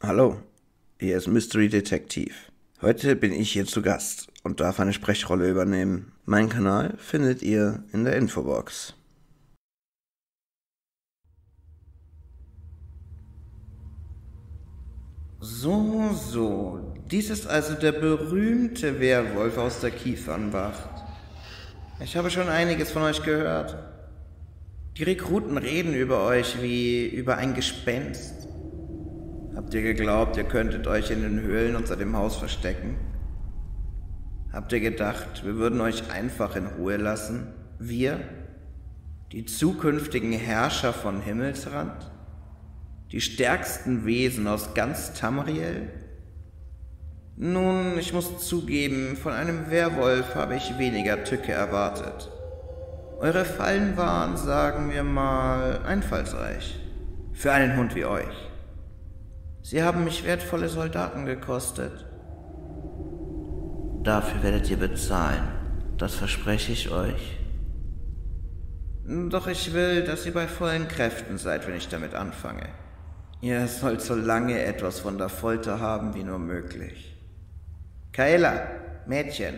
Hallo, hier ist Mystery Detective. Heute bin ich hier zu Gast und darf eine Sprechrolle übernehmen. Mein Kanal findet ihr in der Infobox. So, so, dies ist also der berühmte Werwolf aus der Kiefernwacht. Ich habe schon einiges von euch gehört. Die Rekruten reden über euch wie über ein Gespenst. Habt ihr geglaubt, ihr könntet euch in den Höhlen unter dem Haus verstecken? Habt ihr gedacht, wir würden euch einfach in Ruhe lassen? Wir? Die zukünftigen Herrscher von Himmelsrand? Die stärksten Wesen aus ganz Tamriel? Nun, ich muss zugeben, von einem Werwolf habe ich weniger Tücke erwartet. Eure Fallen waren, sagen wir mal, einfallsreich. Für einen Hund wie euch. Sie haben mich wertvolle Soldaten gekostet. Dafür werdet ihr bezahlen. Das verspreche ich euch. Doch ich will, dass ihr bei vollen Kräften Kräften seid, wenn ich damit anfange. Ihr sollt so lange etwas von der Folter haben wie nur möglich. Kaela, Mädchen,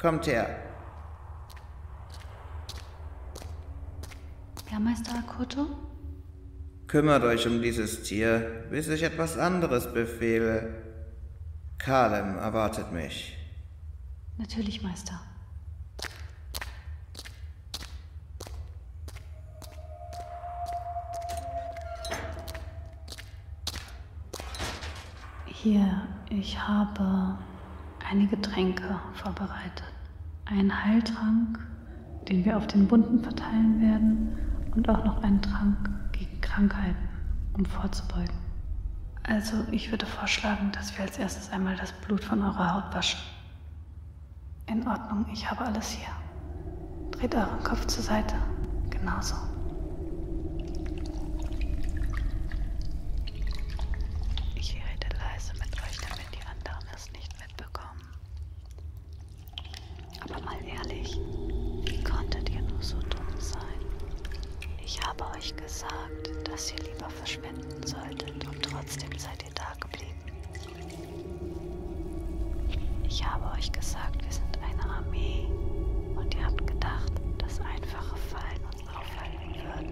kommt her. Herrmeister Akoto? Kümmert euch um dieses Tier, bis ich etwas anderes befehle. Kalem erwartet mich. Natürlich, Meister. Hier, ich habe einige Getränke vorbereitet. Einen Heiltrank, den wir auf den Wunden verteilen werden, und auch noch einen Trank gegen Krankheiten, um vorzubeugen. Also, ich würde vorschlagen, dass wir als erstes einmal das das Blut von eurer Haut waschen. In Ordnung, ich habe alles hier. Dreht euren Kopf zur Seite. Genauso. Ich rede leise mit euch, damit die anderen es nicht mitbekommen. Aber mal ehrlich, wie konntet ihr nur so dumm sein? Ich habe euch gesagt, dass ihr lieber Opfer verschwinden solltet und trotzdem seid ihr da geblieben. Ich habe euch gesagt, wir sind eine Armee und ihr habt gedacht, dass einfache Fallen uns aufhalten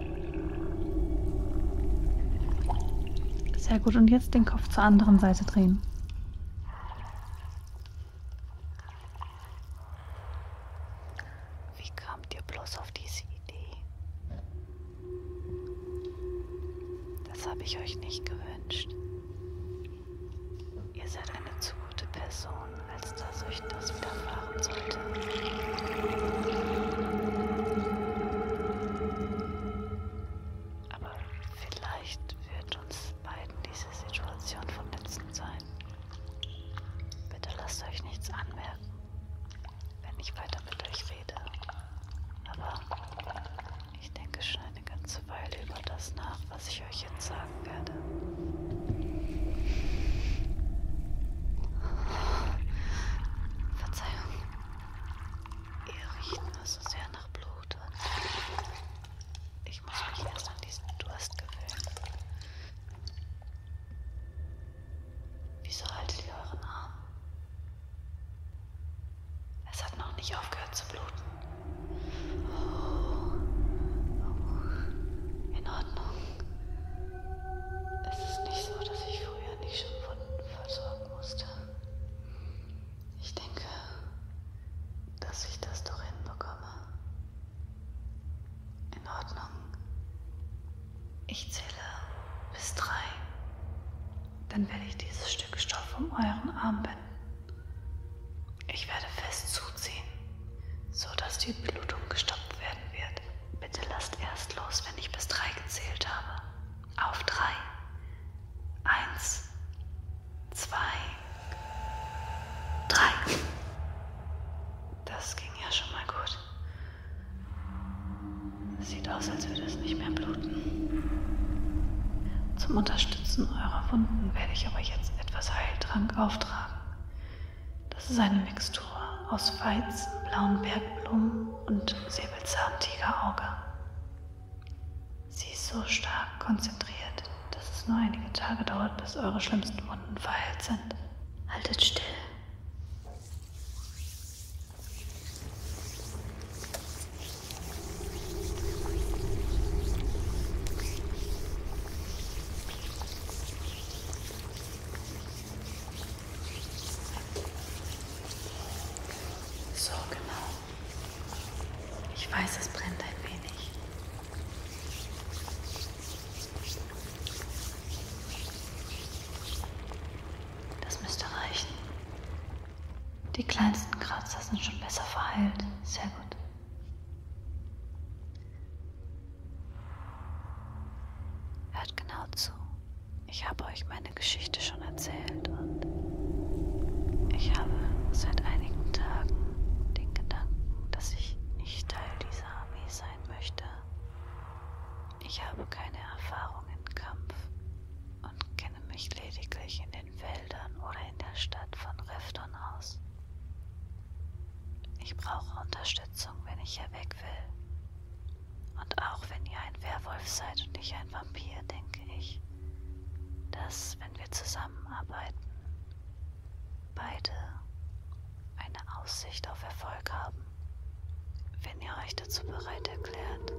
würden. Sehr gut, und jetzt den Kopf zur anderen Seite drehen. Wie kamt ihr bloß auf diese Idee? Das habe ich euch nicht gewünscht. Ihr seid eine zu gute Person, als dass euch das widerfahren sollte. Aber vielleicht wird uns beiden diese Situation vom letzten sein. Bitte lasst euch nichts anmerken, wenn ich weiter mit euch rede. Aber ich denke schon eine ganze Weile über das nach, was ich euch jetzt sagen werde. Verzeihung, ihr riecht nur so sehr nach Blut und ich muss mich erst an diesen Durst gewöhnen. Wieso haltet ihr euren Arm? Es hat noch nicht aufgehört zu bluten. Oh. Oh. In Ordnung. Es ist nicht so, dass ich früher nicht schon Wunden versorgen musste. Ich denke, dass ich das doch hinbekomme. In Ordnung. Ich zähle bis drei. Dann werde ich dieses Stück Stoff um euren Arm binden. Ich werde fest zuziehen, sodass die Blutung gestoppt werden wird. Bitte lasst erst los, wenn ich bis drei gezählt habe. Auf drei. Eins, zwei, Drei. Das ging ja schon mal gut. Sieht aus, als würde es nicht mehr bluten. Zum Unterstützen eurer Wunden werde ich aber jetzt etwas Heiltrank auftragen. Das ist eine Mixtur aus Weizen, blauen Bergblumen und Säbelzahntigerauge. Sie ist so stark konzentriert, dass es nur einige Tage dauert, bis eure schlimmsten Wunden verheilt sind. Haltet still. So genau. Ich weiß, es brennt ein wenig. Das müsste reichen. Die kleinsten Kratzer sind schon besser verheilt. Sehr gut. Hört genau zu. Ich habe euch meine Geschichte schon erzählt und ich habe seit einigen Tagen den Gedanken, dass ich ich Teil dieser Armee sein möchte. Ich habe keine Erfahrung im Kampf und kenne mich lediglich in den Feldern oder in der Stadt von Refton aus. Ich brauche Unterstützung, wenn ich hier weg will. Und auch wenn ihr ein Werwolf seid und ich ein Vampir, denke ich, dass, wenn wir zusammenarbeiten, beide eine Aussicht auf Erfolg haben, wenn ihr euch dazu bereit erklärt,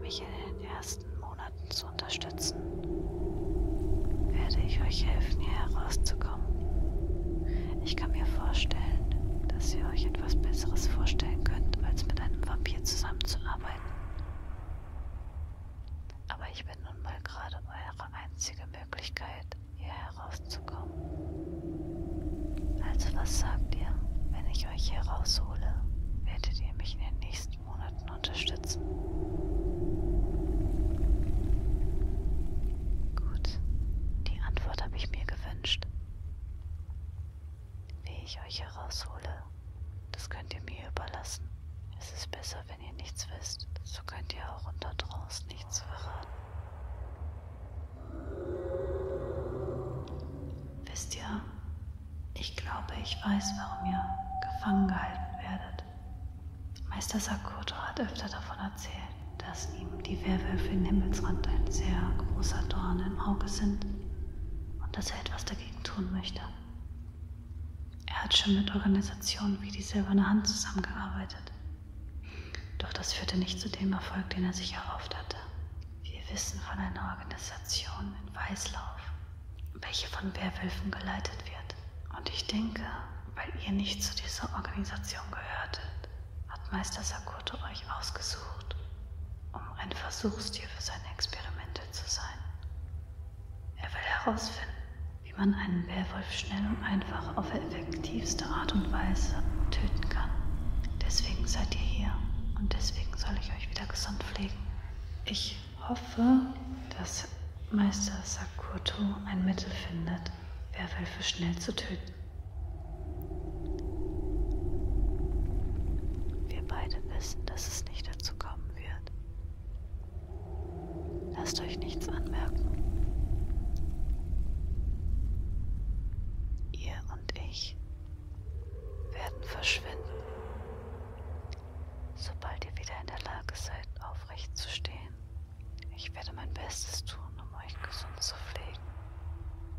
mich in den ersten Monaten zu unterstützen. Werde ich euch helfen, hier herauszukommen. Ich kann mir vorstellen, dass ihr euch etwas Besseres vorstellen könnt, als mit einem Vampir zusammenzuarbeiten bin nun mal gerade eure einzige Möglichkeit, hier herauszukommen. Also was sagt ihr, wenn ich euch hier raushole? Werdet ihr mich in den nächsten Monaten unterstützen? Gut, die Antwort habe ich mir gewünscht. Wie ich euch heraushole, das könnt ihr mir überlassen. Es ist besser, Leute, also, wenn ihr nichts wisst, so könnt ihr auch unter draußen nichts verraten. Wisst ihr, ich glaube, ich weiß, warum ihr gefangen gehalten werdet. Meister Sakoto hat öfter davon erzählt, dass ihm die Werwölfe in Himmelsrand ein sehr großer Dorn im Auge sind und dass er etwas dagegen tun möchte. Er hat schon mit Organisationen wie die Silberne Hand zusammengearbeitet. Doch das führte nicht zu dem Erfolg, den er sich erhofft hatte. Wir wissen von einer Organisation in Weißlauf, welche von Werwölfen geleitet wird. Und ich denke, weil ihr nicht zu dieser Organisation gehörtet, hat Meister Sakoto euch ausgesucht, um ein Versuchstier für seine Experimente zu sein. Er will herausfinden, wie man einen Werwolf schnell und einfach auf effektivste Art und Weise töten kann. Deswegen seid ihr hier und deswegen soll ich euch wieder gesund pflegen. Ich hoffe, dass Meister Sakurto ein Mittel findet, Werwölfe schnell zu töten. Wir beide wissen, dass es nicht dazu kommen wird. Lasst euch nichts anmerken. Ihr und ich werden verschwinden, sobald ihr wieder in der Lage seid, aufrecht zu stehen. Ich werde mein Bestes tun, um euch gesund zu pflegen.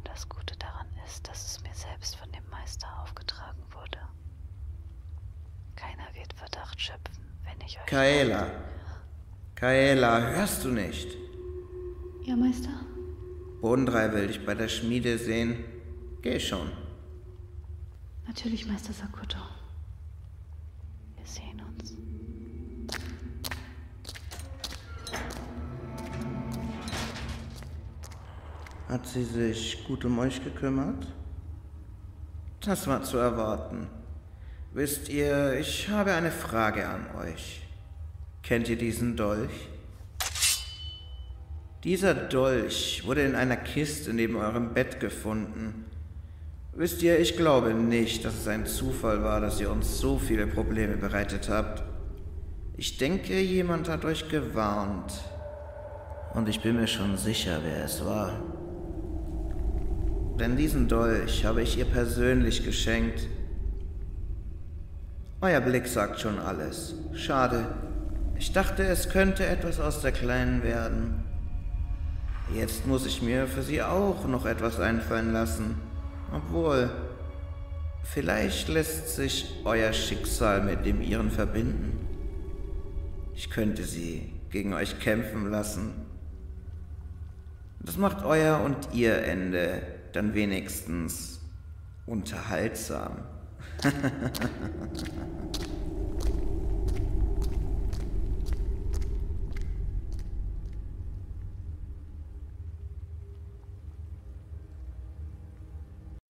Das Gute daran ist, dass es mir selbst von dem Meister aufgetragen wurde. Keiner wird Verdacht schöpfen, wenn ich euch. Kaela! Mache. Kaela, hörst du nicht? Ja, Meister? Bodendrei will dich bei der Schmiede sehen. Geh schon. Natürlich, Meister Sakuto. Wir sehen uns. Hat sie sich gut um euch gekümmert? Das war zu erwarten. Wisst ihr, ich habe eine Frage an euch. Kennt ihr diesen Dolch? Dieser Dolch wurde in einer Kiste neben eurem Bett gefunden. Wisst ihr, ich glaube nicht, dass es ein Zufall war, dass ihr uns so viele Probleme bereitet habt. Ich denke, jemand hat euch gewarnt. Und ich bin mir schon sicher, wer es war. Denn diesen Dolch habe ich ihr persönlich geschenkt. Euer Blick sagt schon alles. Schade. Ich dachte, es könnte etwas aus der Kleinen werden. Jetzt muss ich mir für sie auch noch etwas einfallen lassen. Obwohl, vielleicht lässt sich ich euer Schicksal mit dem ihren verbinden. Ich könnte sie gegen euch kämpfen lassen. Das macht euer und ihr Ende dann wenigstens unterhaltsam.